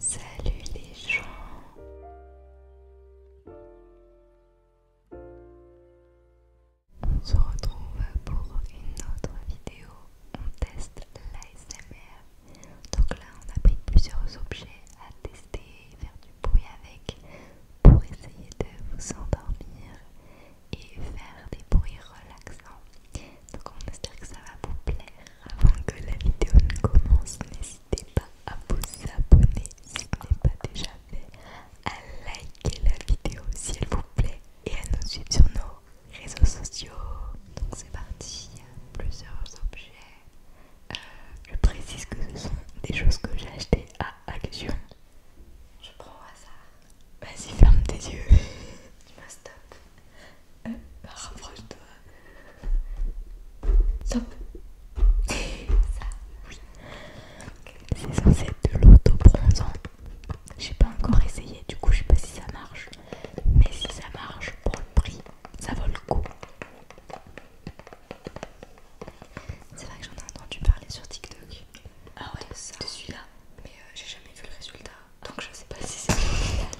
Salut les gens On se retrouve pour une autre vidéo. On teste l'ASMR. Donc là on a pris plusieurs objets à tester faire du bruit avec pour essayer de vous endormir et faire des bruits relaxants. Donc on espère que ça va vous plaire. Avant que la vidéo ne commence, n'hésitez pas à vous abonner si ce n'est pas déjà fait, à liker la vidéo si elle vous plaît et à nous suivre sur nos réseaux sociaux. Donc c'est parti, plusieurs objets. Euh, je précise que ce sont des choses que j'ai achetées à Action. Je prends au hasard. Vas-y, ferme tes yeux. tu me stop. Euh, rapproche-toi. Stop. Ça, oui. C'est censé être de l'auto-bronzant. J'ai pas encore essayé, du coup, je sais pas si ça marche. Mais si ça marche, pour le prix, ça vaut le coup. C'est vrai que j'en ai entendu parler sur TikTok. Ah ouais, de, ça. là Mais euh, j'ai jamais vu le résultat. Donc je sais pas si c'est original.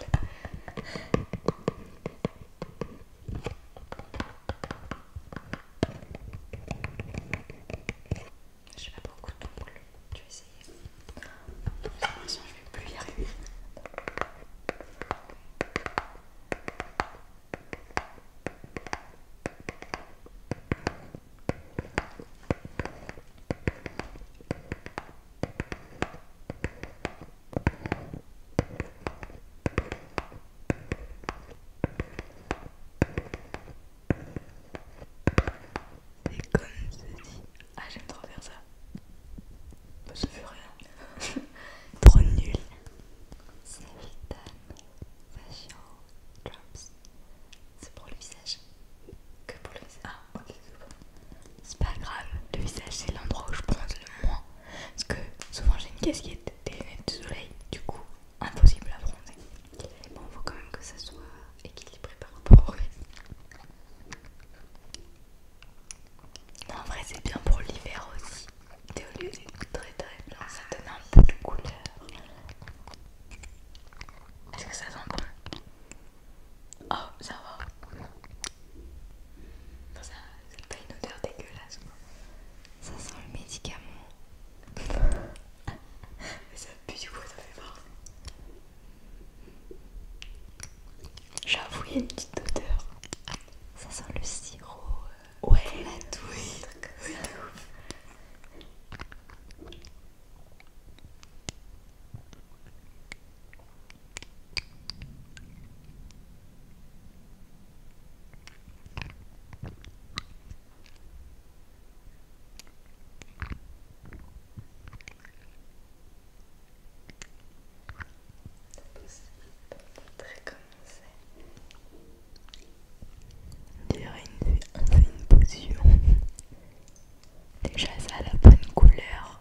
Je pas beaucoup d'ongles, je vais essayer. J'ai l'impression que je vais plus y arriver. C'est comme dit Ah, j'aime trop faire ça. Bah, ça fait rien. trop nul. Séritane facial drops. C'est pour le visage. Que pour le visage c'est pas grave, le visage c'est l'endroit où je bronze le moins. Parce que souvent j'ai une casquette, des lunettes de soleil, du coup impossible à bronzer. Bon, faut quand même que ça soit équilibré par rapport au reste. Non, en vrai, c'est bien pour l'hiver aussi. Et au lieu d'être très très blanc, ça donne un peu de couleur. Est-ce que ça sent bon Oh, ça va. ça n'a pas une odeur dégueulasse. Ça sent le médicament. Mais ça pue du coup, ça fait marre. J'avoue, il y a une petite odeur. Ça sent le sirop. Euh, ouais, la douille. ouf. On dirait une, position. fait une potion. Déjà ça a la bonne couleur.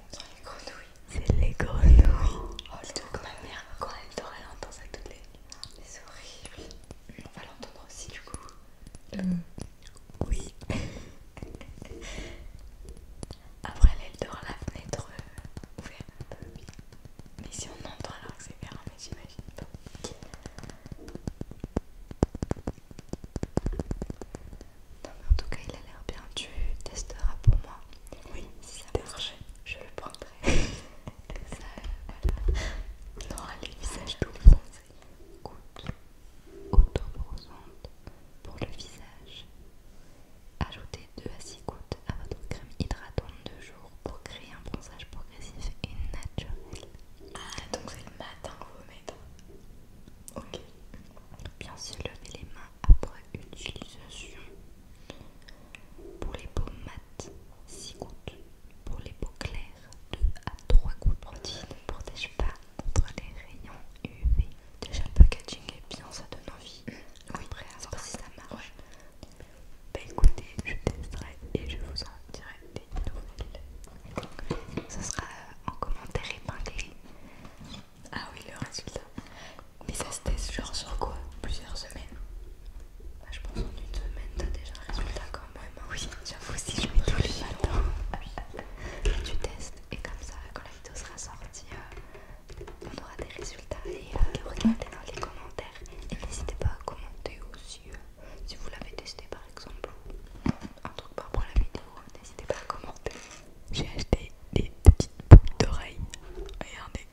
On les grenouilles. C'est les grenouilles. Oh, le comme ma mère, quand elle dort, elle entend ça toutes les nuits. C'est On va l'entendre aussi, du coup. Mm. Oui. Après, elle dort la fenêtre euh, ouverte. Mais si on entend alors que c'est fermé, j'imagine pas. Non mais en tout cas il a l'air bien, tu testeras pour moi. Oui, si ça marche, je le prendrai. ça, voilà. Non, les tout bronzés. Goutte auto pour le visage. Ajoutez 2 à 6 gouttes à votre crème hydratante de jour pour créer un bronzage progressif et naturel. Ah, donc c'est le matin que vous mettez Ok. Bien se lever les mains après utilisation. Pour les peaux mates, 6 gouttes. Pour les peaux claires, 2 à 3 gouttes. Produit ne protège pas contre les rayons UV. Déjà le packaging est bien, ça donne envie. Oui, prêt à voir si ça marche. Bah écoutez, je testerai et je vous en dirai des nouvelles. ça sera euh, en commentaire épinglé. Ah oui, le résultat. Mais ça se teste genre sur quoi Plusieurs semaines. Bah, je pense en une semaine, t'as déjà un résultat quand même. Hein. Oui, j'avoue, si je mets tout le matins, tu testes et comme ça, quand la vidéo sera sortie, euh, on aura des résultats. Et euh, regardez dans les commentaires. Et n'hésitez pas à commenter aussi si vous l'avez testé par exemple un truc par rapport à la vidéo, n'hésitez pas à commenter. J'ai acheté des petites boules d'oreilles. Regardez.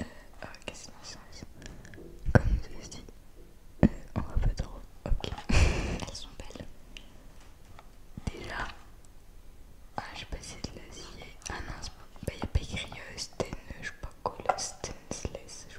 Euh, oh, Qu'est-ce que Comme ceci. Euh, on va pas trop. Ok. Elles sont belles. Déjà. Ah, je passe pas de l'acier. Ah non, bah, il n'y a pas écrit euh, je je sais pas quoi, stainless, je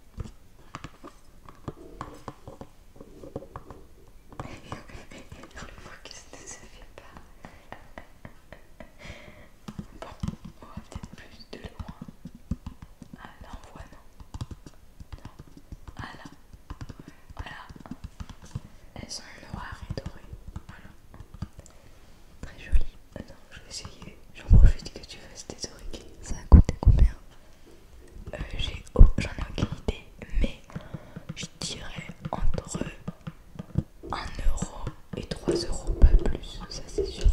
le ce que ça fait pas Bon, on va peut-être plus de loin. Ah là on voit non. Non. Ah là. Voilà. Elles sont noires et dorées. Voilà. Très jolies. Ah non, je vais essayer. J'en profite que tu fasses tes oreilles. Ça a coûté combien euh, J'ai j'en ai aucune idée, mais je dirais entre 1€ et 3€ pas plus, ça c'est sûr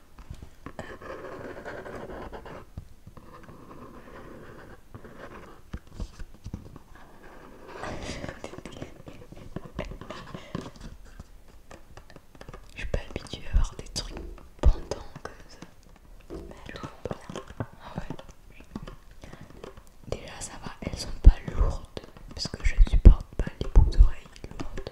je suis pas habituée à voir des trucs pendant comme ça. Mais Déjà ça va, elles sont pas lourdes parce que je supporte pas les boucles d'oreilles lourdes.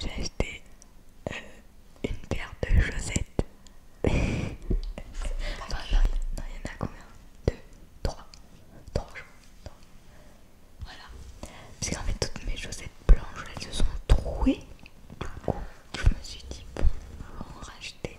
J'ai acheté euh, une paire de chaussettes. non, il y en a combien Deux, trois, trois jours. Voilà. Parce qu'en fait, toutes mes chaussettes blanches, elles se sont trouées. Du coup, je me suis dit, bon, on va en racheter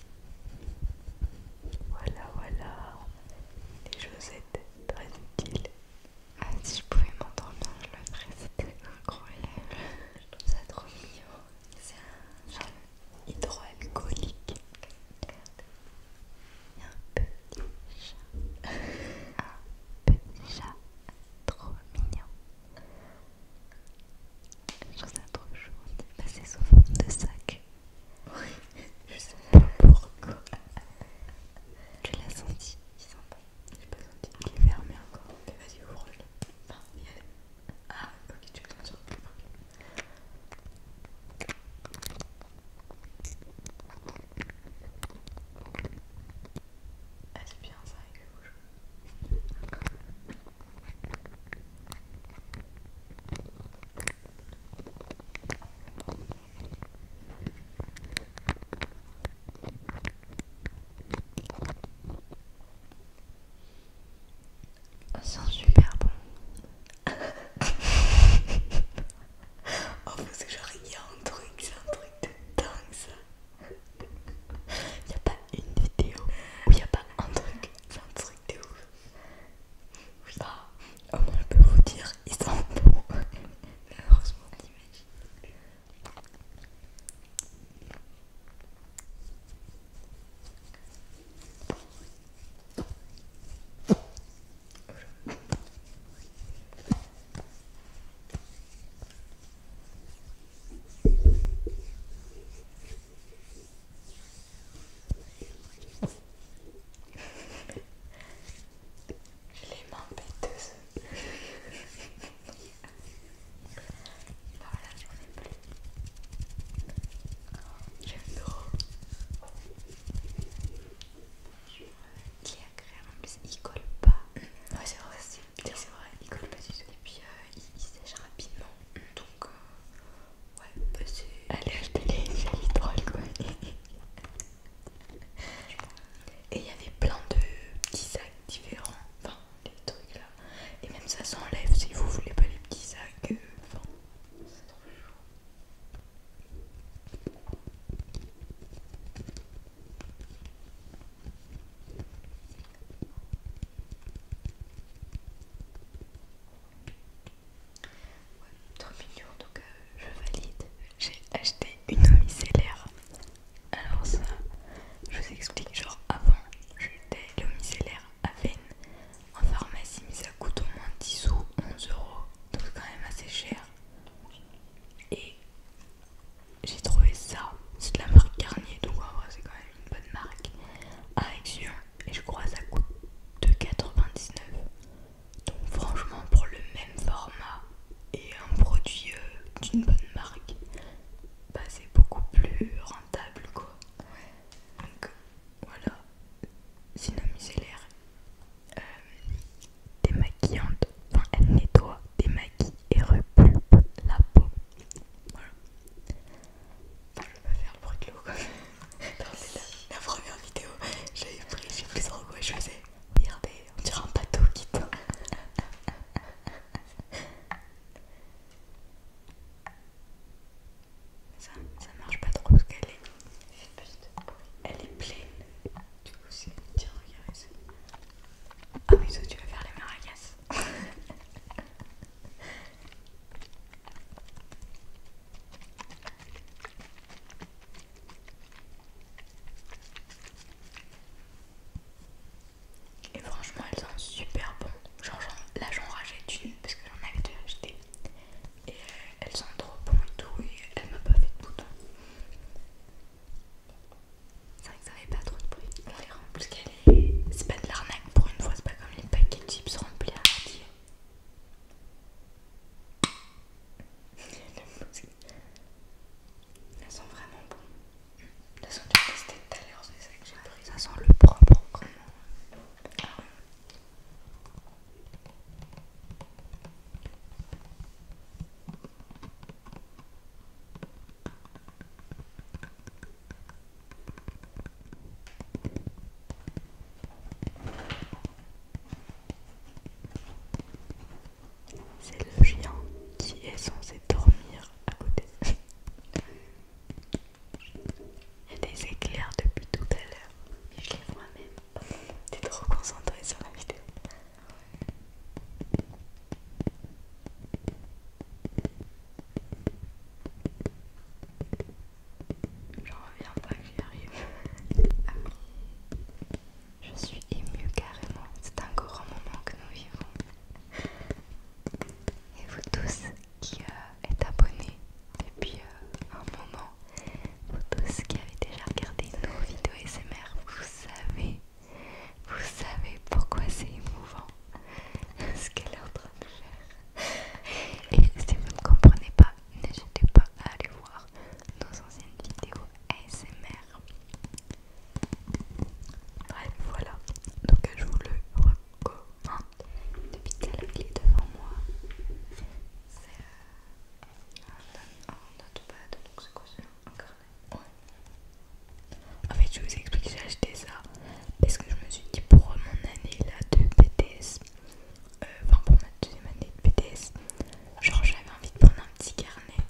Voilà, voilà. Les étaient très utiles. Ah, si je pouvais m'entendre bien, je le ferais. C'était incroyable. Je trouve ça trop mignon. C'est un chat hydroalcoolique. Regarde. Il y a un petit chat. un petit chat. Trop mignon. Je trouve ça trop chaud. c'est sous forme de sac. Oui, je sais pas pourquoi. Tu l'as senti Il sent pas. J'ai pas senti. Il est fermé encore. Mais vas-y, ouvre-le. Enfin, il y Ah, ok, tu peux le c'est bien ça avec le bouche. Oh, c'est super bon. oh, parce que j'aurais rien, un truc, c'est un truc de danse. Il n'y a pas une vidéo où il n'y a pas un truc. C'est un truc de ouf. Oui. Bah, oh, je peux vous dire, ils sont bons. Mais heureusement, l'image. Les mains péteuses. voilà, n'en ai plus. J'aime trop. Qui est agréable, en plus il colle pas. Ouais, c'est vrai, c'est c'est vrai, il colle pas du tout. Et puis euh, il, sèche rapidement. Donc, euh, ouais, bah, c'est. Allez, acheter les c'est quoi. Et il y avait plein de petits sacs différents. Enfin, les trucs là. Et même ça s'enlève si vous voulez pas les petits sacs. Euh, Ouais, trop donc euh, je valide. J'ai acheté une micellaire. Alors, ça, je vous explique genre avant, j'étais le micellaire à Venn en pharmacie, mais ça coûte au moins 10 ou 11 euros, donc c'est quand même assez cher. Et j'ai trouvé ça, c'est de la marque Garnier, donc c'est quand même une bonne marque à Action et je crois ça coûte 2,99 donc franchement pour le même format et un produit euh, d'une bonne marque bah c'est beaucoup plus rentable quoi donc voilà Synamisé l'air des euh, démaquillante enfin elle nettoie maquillages et repulpe la peau. Voilà. Je vais pas faire le bruit de l'eau la, la première vidéo, j'avais pris, j'ai pris en et je faisais. Regardez, on dirait un bateau qui tombe. Ça, ça marche pas trop parce qu'elle est. Elle est pleine. Du coup, c'est. tire regarde ça. Ah oui, toi, tu vas faire les maracas. Et franchement, elles sont super bonnes. Genre, là, j'en rachète une parce que j'en avais deux achetées Et euh, elles sont trop bonnes et tout. Et elles m'a pas fait de boutons. C'est vrai que ça n'avait pas trop de bruit. On les remplit qu'elle est. C'est pas de l'arnaque pour une fois, c'est pas comme les paquets de chips remplis à moitié. Elles sont vraiment bonnes. Elles sont déjà testé tout à l'heure, c'est ça que j'ai pris. Ça sent le propre vraiment. C'est le chien qui est censé dormir à côté. Il y a des éclairs depuis tout à l'heure, mais je les vois même. T'es trop concentré sur la vidéo. J'en reviens pas que j'y arrive. Ah. Je suis émue carrément. C'est un grand moment que nous vivons. Et vous tous qui euh, êtes abonnés depuis euh, un moment, vous tous qui avez déjà regardé nos vidéos SMR, vous savez vous savez pourquoi c'est émouvant ce qu'elle est en train de faire. Et si vous ne comprenez pas, n'hésitez pas à aller voir nos anciennes vidéos ASMR. Bref, voilà. Donc je vous le recommande. Depuis qu'elle est devant moi. C'est un, notepad. Donc c'est quoi c'est en fait, je vous explique, j'ai acheté ça parce que je me suis dit pour mon année là de BTS, euh, enfin pour ma deuxième année de BTS, genre j'avais envie de prendre un petit carnet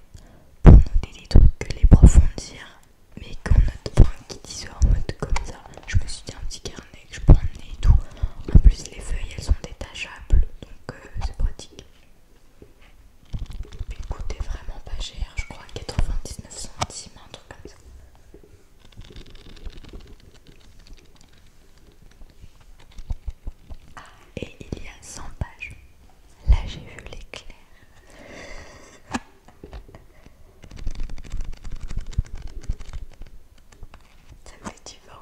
pour noter des trucs les profs mais qu'on note, un qui disent en mode comme ça. Je me suis dit un petit carnet que je peux emmener et tout. En plus, les feuilles elles sont détachables donc euh, c'est pratique. Il coûtait vraiment pas cher, je crois 99 centimes, un truc comme ça. Ah, et il y a 100 pages. Là, j'ai vu l'éclair. Ça me fait du vent.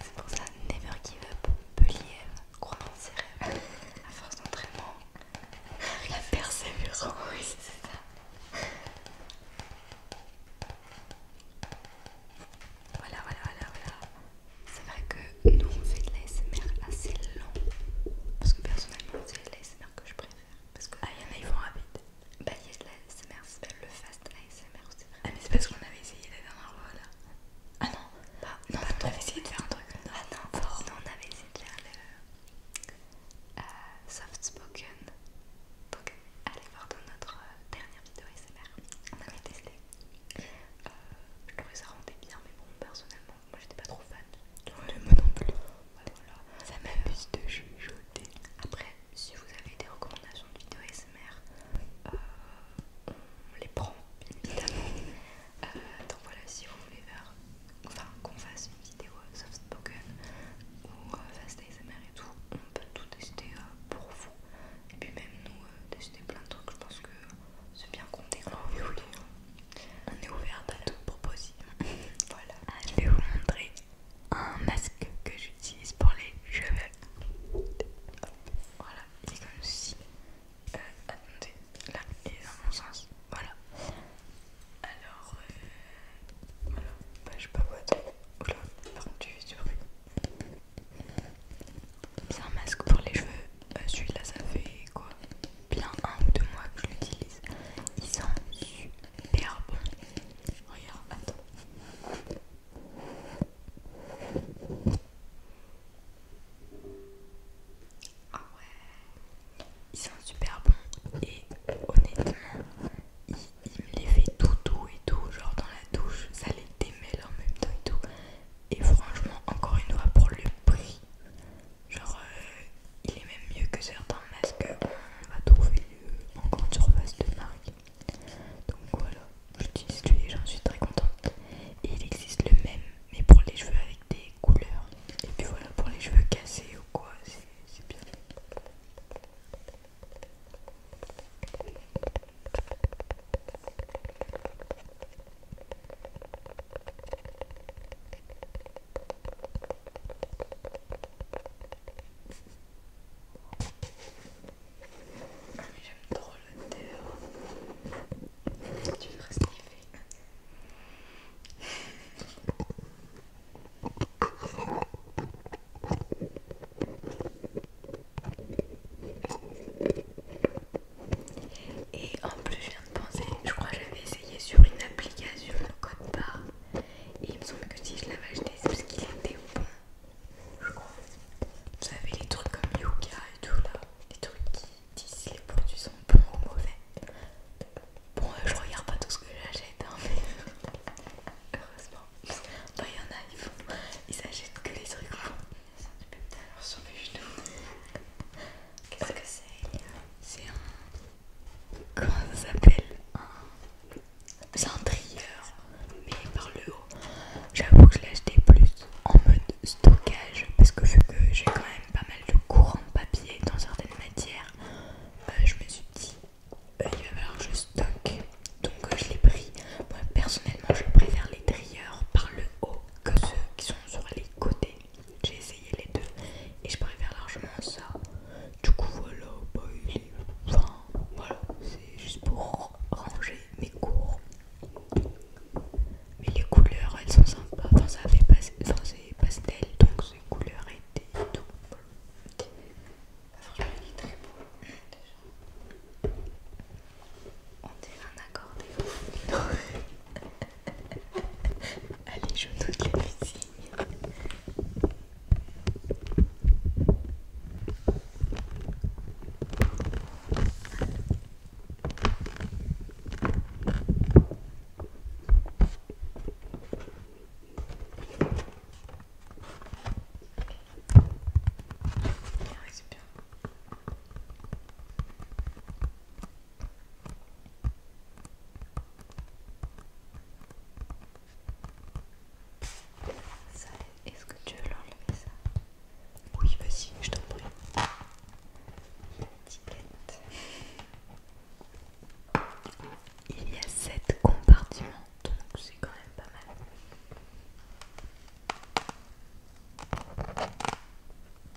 C'est pour ça, never give up, believe, crois en ses rêves, à force d'entraînement, la persévérance, oui c'est ça. Voilà, voilà, voilà, voilà. C'est vrai que nous on fait de l'ASMR assez lent parce que personnellement c'est l'ASMR que je préfère parce que ah il y en a ils vont rapide bah il y a de l'ASMR c'est le fast ASMR ah mais c'est parce qu'on avait essayé la dernière fois là ah non on avait essayé de faire un truc ah non, on avait essayé de faire le euh, soft spoken donc allez voir dans notre euh, dernière vidéo ASMR on avait testé euh, je trouvais ça rendait bien mais bon personnellement moi j'étais pas trop fan. Ouais, moi non plus. Ça m'amuse de chuchoter. Après, si vous avez des recommandations de vidéos ASMR, euh, on les prend évidemment. Euh, donc voilà, si vous voulez faire, enfin qu'on fasse une vidéo euh, soft spoken ou euh, fast ASMR et tout, on peut tout tester pour vous. Et puis même nous tester plein de trucs, je pense que c'est bien qu'on oh oui, oui. On est ouvert à tout propositions voilà. je vais vous montrer un masque que j'utilise pour les cheveux. Voilà, il est comme ceci. Euh, attendez, là, il est dans mon sens. Voilà. Alors, euh, voilà. Bah, je sais pas quoi attendre. Oula, par contre, tu fais du bruit. C'est un masque pour les cheveux euh, celui-là ça fait quoi bien un ou deux mois que je l'utilise il sent super bon regarde attends ah ouais il sent super bon et honnêtement il me les fait tout doux et tout genre dans la douche ça les démêle en même temps et tout et franchement encore une fois pour le prix Genre, euh, il est même mieux que certains masques on va trouver euh, en grande surface de marque. Donc voilà, j'utilise celui j'en suis très contente. Et il existe le même, mais pour les cheveux avec des couleurs. Et puis voilà, pour les cheveux cassés ou quoi, c'est bien. Ah, j'aime trop l'odeur. Hein. Tu devrais sniffer. Et en plus, je viens de penser, je crois que j'avais essayé sur une application le code barre. Et il me semble que si je l'avais acheté, c'est parce qu'il était bon. Je crois. Vous savez, les trucs comme yoga et tout là, les trucs qui disent si les produits sont bons ou mauvais. Bon, euh, je regarde pas tout ce que j'achète, hein, mais heureusement. il y en a, ils, font... ils achètent que les trucs Qu'est-ce que c'est C'est un. Comment ça s'appelle C'est un trieur, mais par le haut. J'avoue que je l'ai acheté plus en mode stockage parce que vu que j'ai quand même pas mal de courants papier dans certaines matières, bah, je me suis dit euh, il va falloir que je stocke. Donc je l'ai pris. Moi personnellement, je préfère les trieurs par le haut que ceux qui sont sur les côtés. J'ai essayé les deux et je préfère largement ça. Du coup, voilà, bah, voilà, c'est juste pour ranger mes cours. Mais les couleurs, elles sont sympas. Enfin, ça fait pas... c'est pastel, donc ces couleurs étaient tout. très beau déjà. On dirait un accordéon. Allez, je note la musique. Ah oui, c'est bien. Ça, est-ce que tu veux l'enlever ça Oui, vas-y, je t'en prie. L'étiquette. Il y a sept compartiments, donc c'est quand même pas mal.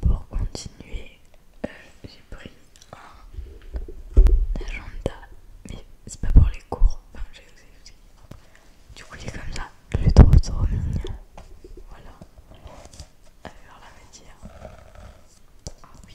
Pour continuer, euh, j'ai pris un agenda, mais c'est pas pour les cours. Enfin, aussi. Du coup, il est comme ça. Je le trouve trop mignon. Voilà. Alors, la matière. Ah oui.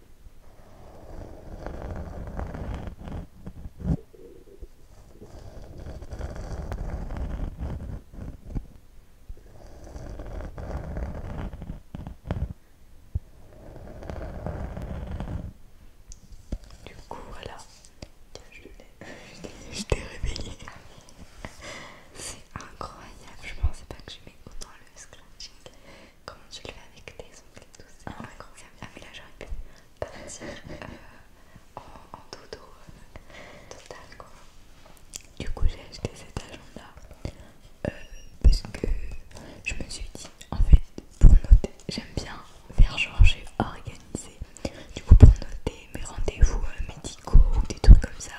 Du coup, voilà. je t'ai réveillée. C'est incroyable. Je pensais pas que j'aimais autant le scratching. Comment tu le fais avec tes ongles et tout ça ah, ah, mais là j'aurais pu partir euh, en, dodo euh, total quoi. Du coup j'ai acheté cet agenda euh, parce que je me suis dit en fait pour noter j'aime bien faire genre j'ai organisé. Du coup pour noter mes rendez-vous médicaux ou des trucs comme ça,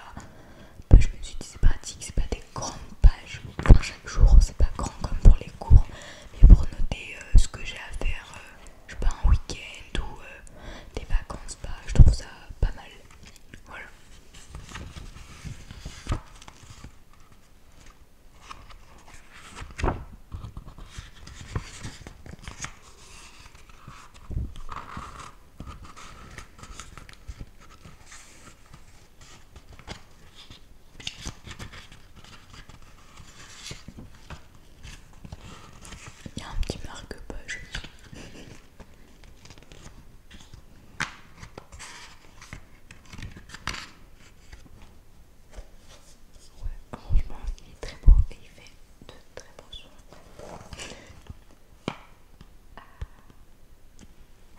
bah, je me suis dit c'est pratique, c'est pas des grandes pages chaque jour. C'est pas grand comme pour les cours, mais pour noter euh, ce que j'ai à faire, euh, je sais pas, un week-end ou euh, des vacances, pas. Bah, je trouve ça pas mal. Voilà. Il y a un petit marque-page. Ouais, franchement, il est très beau et il fait de très beaux sons. Euh,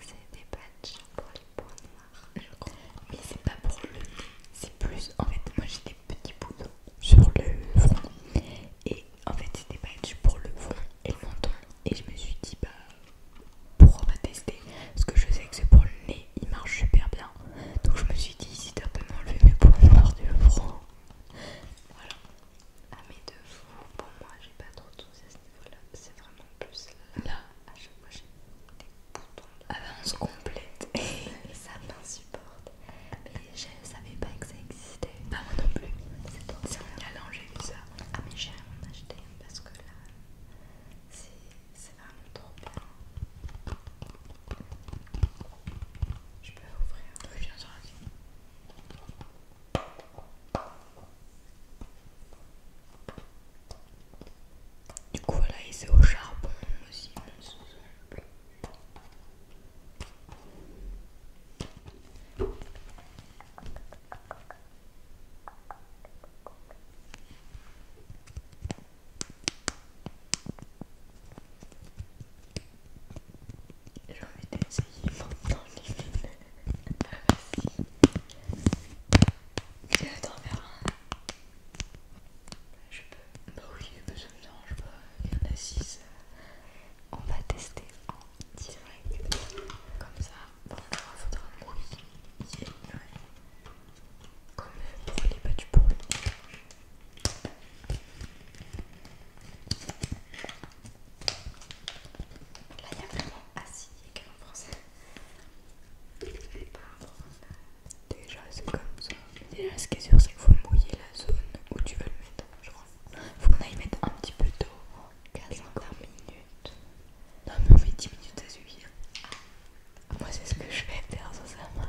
c'est des patchs pour mais c'est pas pour le nez, c'est plus. En fait, moi j'ai des petits bouts sur le front. Et en fait, c'était pas pour le front et le menton. Et je me suis dit, bah pourquoi pas tester Parce que je sais que c'est pour le nez, il marche super bien. Donc je me suis dit, si t'as pas m'enlever mes points noirs du front. Voilà. à ah, mes deux fous, pour moi j'ai pas trop de soucis voilà, c'est vraiment plus là. À chaque fois, j'ai des boutons. d'avance ah ben, complète. Et ça m'insupporte. Mais je savais pas que ça existait. Pas moi non plus. C'est trop C'est un challenge. j'ai vu ça. Ah, mais j'ai rien acheté parce que là, c'est vraiment trop bien. Je peux ouvrir. Oui, bien sûr. Du coup, voilà, et c'est au charbon aussi, mon sous-sol. J'ai envie d'essayer dans les films. Vas-y. Tu veux t'en faire un Je peux. Bah oui, mais ça me dérange pas. Il y en a 6. On va tester en direct. Comme ça, bon, il faudra un bruit. Yeah, ouais. Comme pour les battus du le Là, il y a vraiment assis écrit en français. Déjà, c'est comme ça. Déjà, ce qui est sûr, c'est qu'il faut mouiller la zone où tu veux le mettre, je crois. Faut qu'on aille mettre un petit peu d'eau. 15 minutes. Non, mais on fait 10 minutes, à suivre. Ah, moi, c'est ce que je fais, faire, ça, ça marche.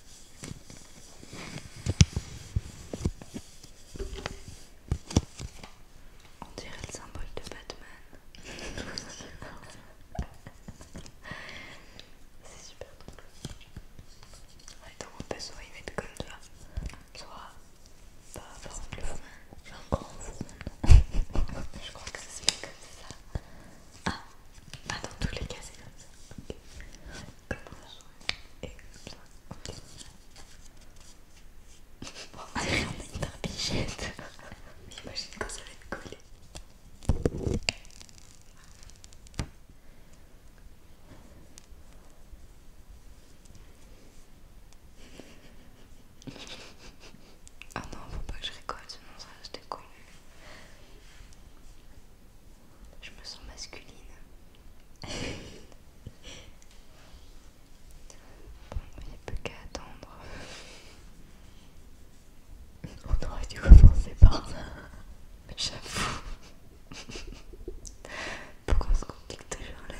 On dirait le symbole de Batman. C'est super drôle. donc on peut soit y mettre comme ça, soit pas avoir le fond. J'ai un grand Je crois que ça se fait comme ça. Ah, ah dans tous les cas c'est comme ça comme ça et comme ça. Ok. Bon, allez, on a une barbichette. Mais imagine quand ça va être collé. Ah non, faut pas que je rigole, sinon ça reste déconnu. Je me sens masculine. bon, il n'y a plus qu'à attendre. On aurait dû commencer par ça. J'avoue. Pourquoi on se complique toujours là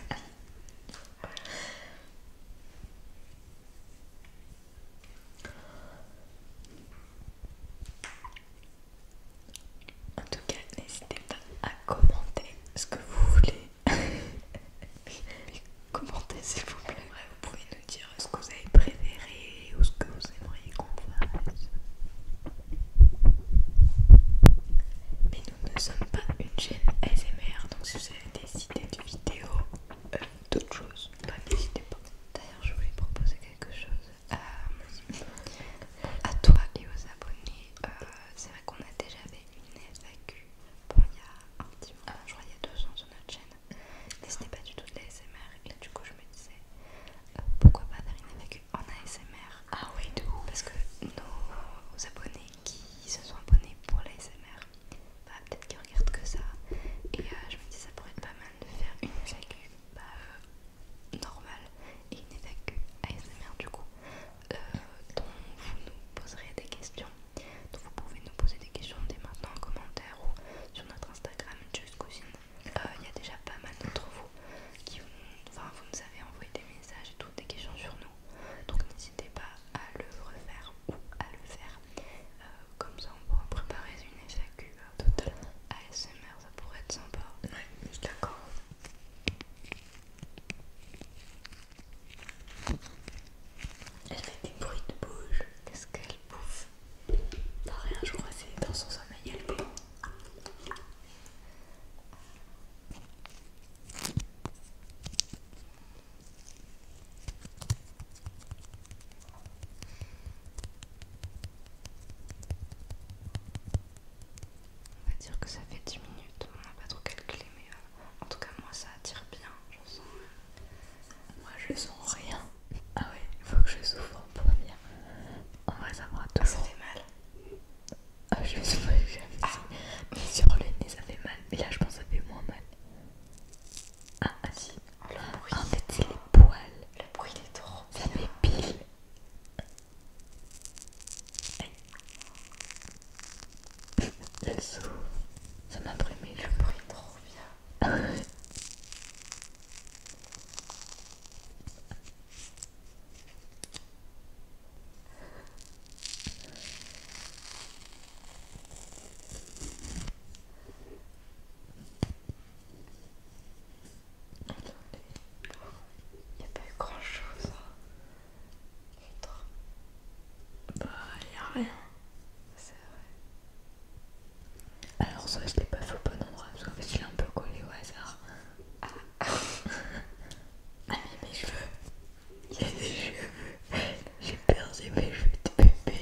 en tout cas, n'hésitez pas à commenter ce que vous voulez. commentez s'il vous plaît. vous pouvez nous dire ce que vous avez préféré ou ce que vous aimeriez qu'on fasse. Mais nous ne sommes pas une chaîne ASMR, donc si vous avez des idées de vidéos, euh, d'autres choses, bah, n'hésitez pas. D'ailleurs, je voulais proposer quelque chose. Euh, à toi et aux abonnés, euh, c'est vrai qu'on a déjà fait une FAQ il y a un petit moment, je crois il y a deux ans sur notre chaîne, mais ce n'est pas du tout de l'ASMR et du coup je me disais euh, pourquoi pas faire une FAQ en ASMR Ah oui, du coup Parce que nos abonnés qui se sont abonnés pour l'ASMR, bah, peut-être qu'ils regardent que ça et je me dis ça pourrait être pas mal de faire une FAQ bah, euh, normal et il et une que ASMR du coup euh, dont vous nous poserez des questions donc vous pouvez nous poser des questions dès maintenant en commentaire ou sur notre Instagram JustCousine euh, il y a déjà pas mal d'entre vous qui enfin, vous nous avez envoyé des messages et toutes des questions sur nous donc n'hésitez pas à le refaire ou à le faire comme ça on pourra préparer une FAQ euh, totalement ASMR, ça pourrait être sympa. Ouais, je suis d'accord. Elle fait des bruits de bouche. Qu'est-ce qu'elle bouffe T'as rien, je crois, c'est dans son sommeil, elle bouffe. On va dire que ça fait 10 minutes, on n'a pas trop calculé, mais euh, en tout cas, moi ça attire bien. Je sens. Moi je sens rien. Ah ouais, il faut que je souffre en bien. On va savoir. me ah, rend Ça fait mal. Ah, je souffre souviens Ah. Mais sur le nez, ça fait mal. Mais là, je pense que ça fait moins mal. Ah, si, le bruit. En les poils. Le bruit, il est trop. Ça m'épile. Ça m'a brûlé Le bruit, trop bien. Attendez, il n'y a pas eu grand chose. Hein. Bah, il n'y a rien. C'est vrai. Alors, ça, je l'ai pas fait au bon endroit parce qu'en je l'ai un peu collé au hasard. Ah. ah, mais mes cheveux. Il y a des cheveux. J'ai perdu mes cheveux de bébé.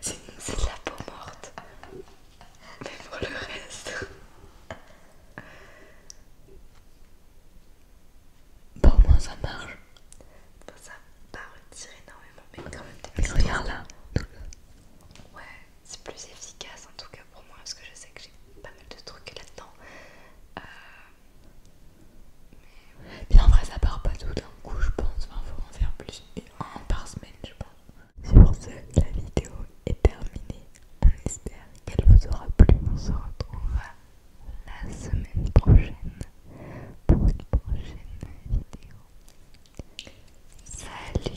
C'est de la peau morte. Mais pour le reste. Bon, au moins ça marche. ça va retirer énormément, mais quand même regarde là. Ouais, c'est plus efficace en tout cas pour moi parce que je sais que j'ai pas mal de trucs là-dedans. Euh, mais en vrai ça part pas tout d'un coup je pense, il faut en faire plus, un par semaine je pense. Sur ce, la vidéo est terminée. On espère qu'elle vous aura plu. On se retrouvera la semaine prochaine pour une prochaine vidéo. Salut